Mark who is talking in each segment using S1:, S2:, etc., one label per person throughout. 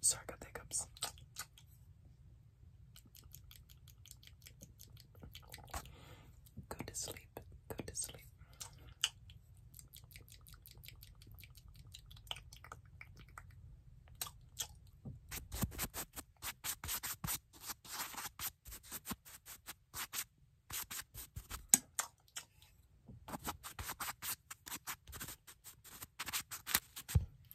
S1: Sorry, I got the hiccups. Go to sleep. Go to sleep.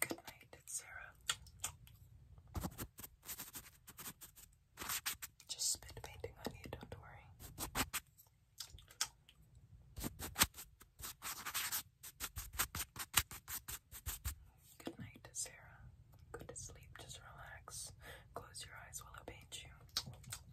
S1: Good night, Sarah. Just spit painting on you, don't worry. Good night, Sarah. Go to sleep, just relax. Close your eyes while I paint you.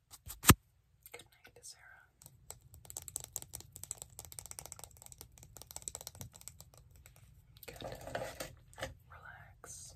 S1: Good night, Sarah. Good. Relax.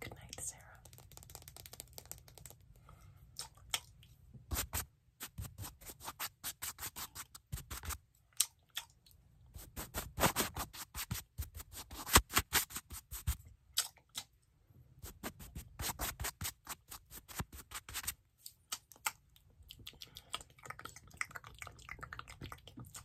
S1: Good night, Sarah.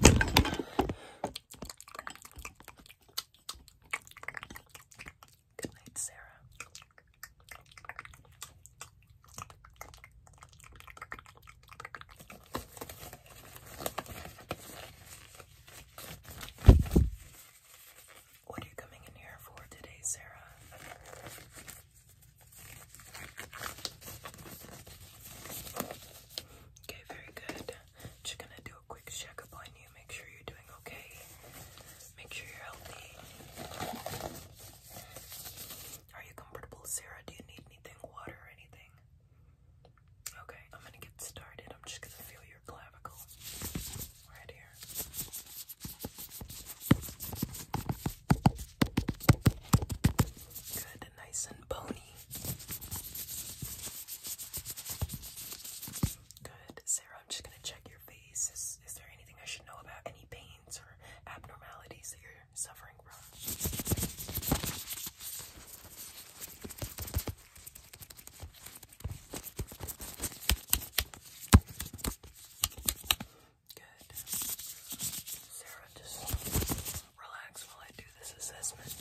S1: Good night, Sarah. What are you coming in here for today, Sarah? Okay, very good. Just gonna do a quick checkup on you, make sure you're doing okay, make sure you're healthy. Are you comfortable, Sarah? Do you need anything, water or anything? Okay, I'm gonna get started. I'm just gonna feel your clavicle right here. Good, nice and bony. Good, Sarah, I'm just gonna check your face. Is, is there anything I should know about? Any pains or abnormalities that you're suffering from? Good. Sarah, just relax while I do this assessment.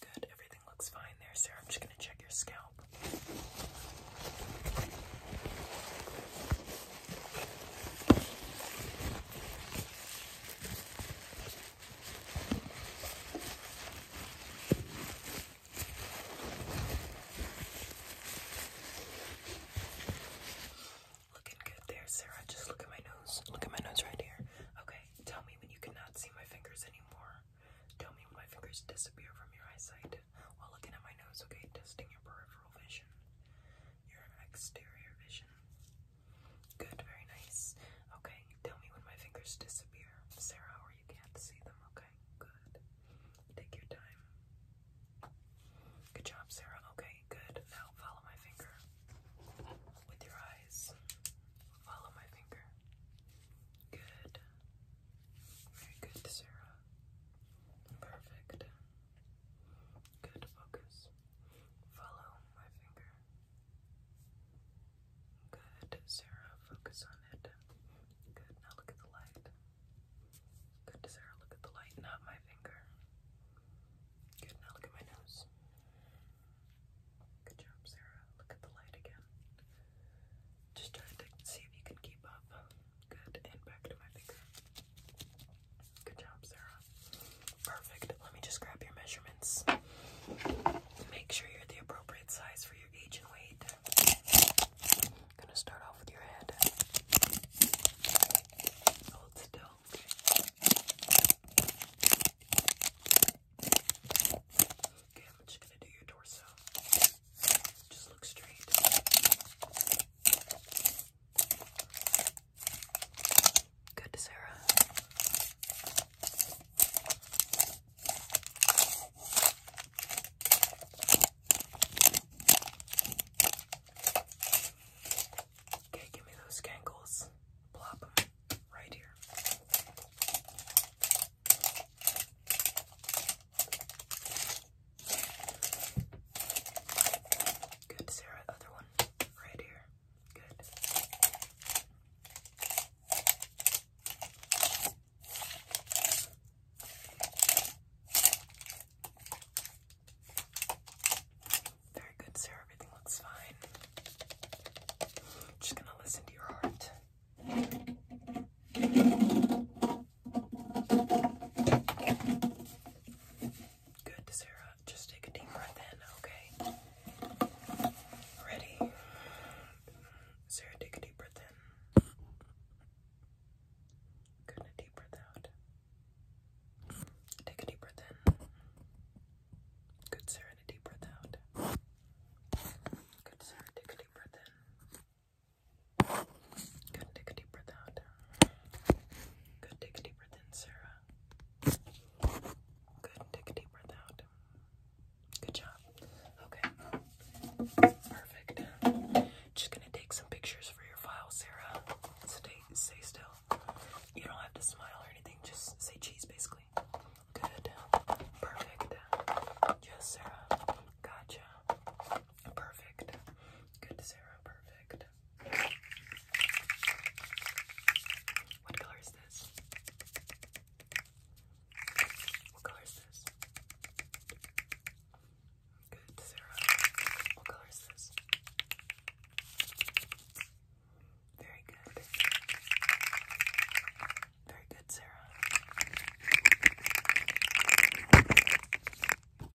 S1: Good, everything looks fine there, Sarah. I'm just going to check your scalp. Looking good there, Sarah. Just look at my nose. Look at my nose right here. Okay, tell me when you cannot see my fingers anymore. Tell me when my fingers disappear from your eyesight while looking at my nose, okay? Testing your peripheral vision your exterior vision. Good, very nice. Okay, tell me when my fingers disappear, Sarah, or you can't see them. Okay, good. Take your time. Good job, Sarah. Okay, good. Now follow my finger with your eyes. Follow my finger. Good. Very good, Sarah. Perfect. Good focus. Follow my finger. Good, Sarah, focus on it. Good, now look at the light. Good, Sarah, look at the light, not my finger. Good, now look at my nose. Good job, Sarah. Look at the light again. Just trying to see if you can keep up. Good, and back to my finger. Good job, Sarah. Perfect. Let me just grab your measurements. Make sure you're the appropriate size for your age and weight. I'm gonna start off with your head. Hold still. Okay, I'm just gonna do your torso. Just look straight. Good, Sarah. Okay, give me those gangles. Plop right here. Good, Sarah. Other one right here. Good. Very good, Sarah. Everything looks fine. Just gonna listen to your heart. Good, Sarah. Just take a deep breath in, okay? Ready? Sarah, take a deep breath in. Good, a deep breath out. Take a deep breath in. Good, Sarah, a deep breath out. Good, Sarah, take a deep breath in. Good, take a deep breath out. Good, take a deep breath in, Sarah. Good, take a deep breath out. Good job. Okay. Perfect. Just gonna take some pictures for your file, Sarah. Stay stay still. You don't have to smile or anything, just say cheese basically. Good. Perfect. Yes, Sarah. Gotcha. Perfect. Good, Sarah. Perfect red. What color is this? What color is this? Good, Sarah. What color is this? Very good. Very good, Sarah.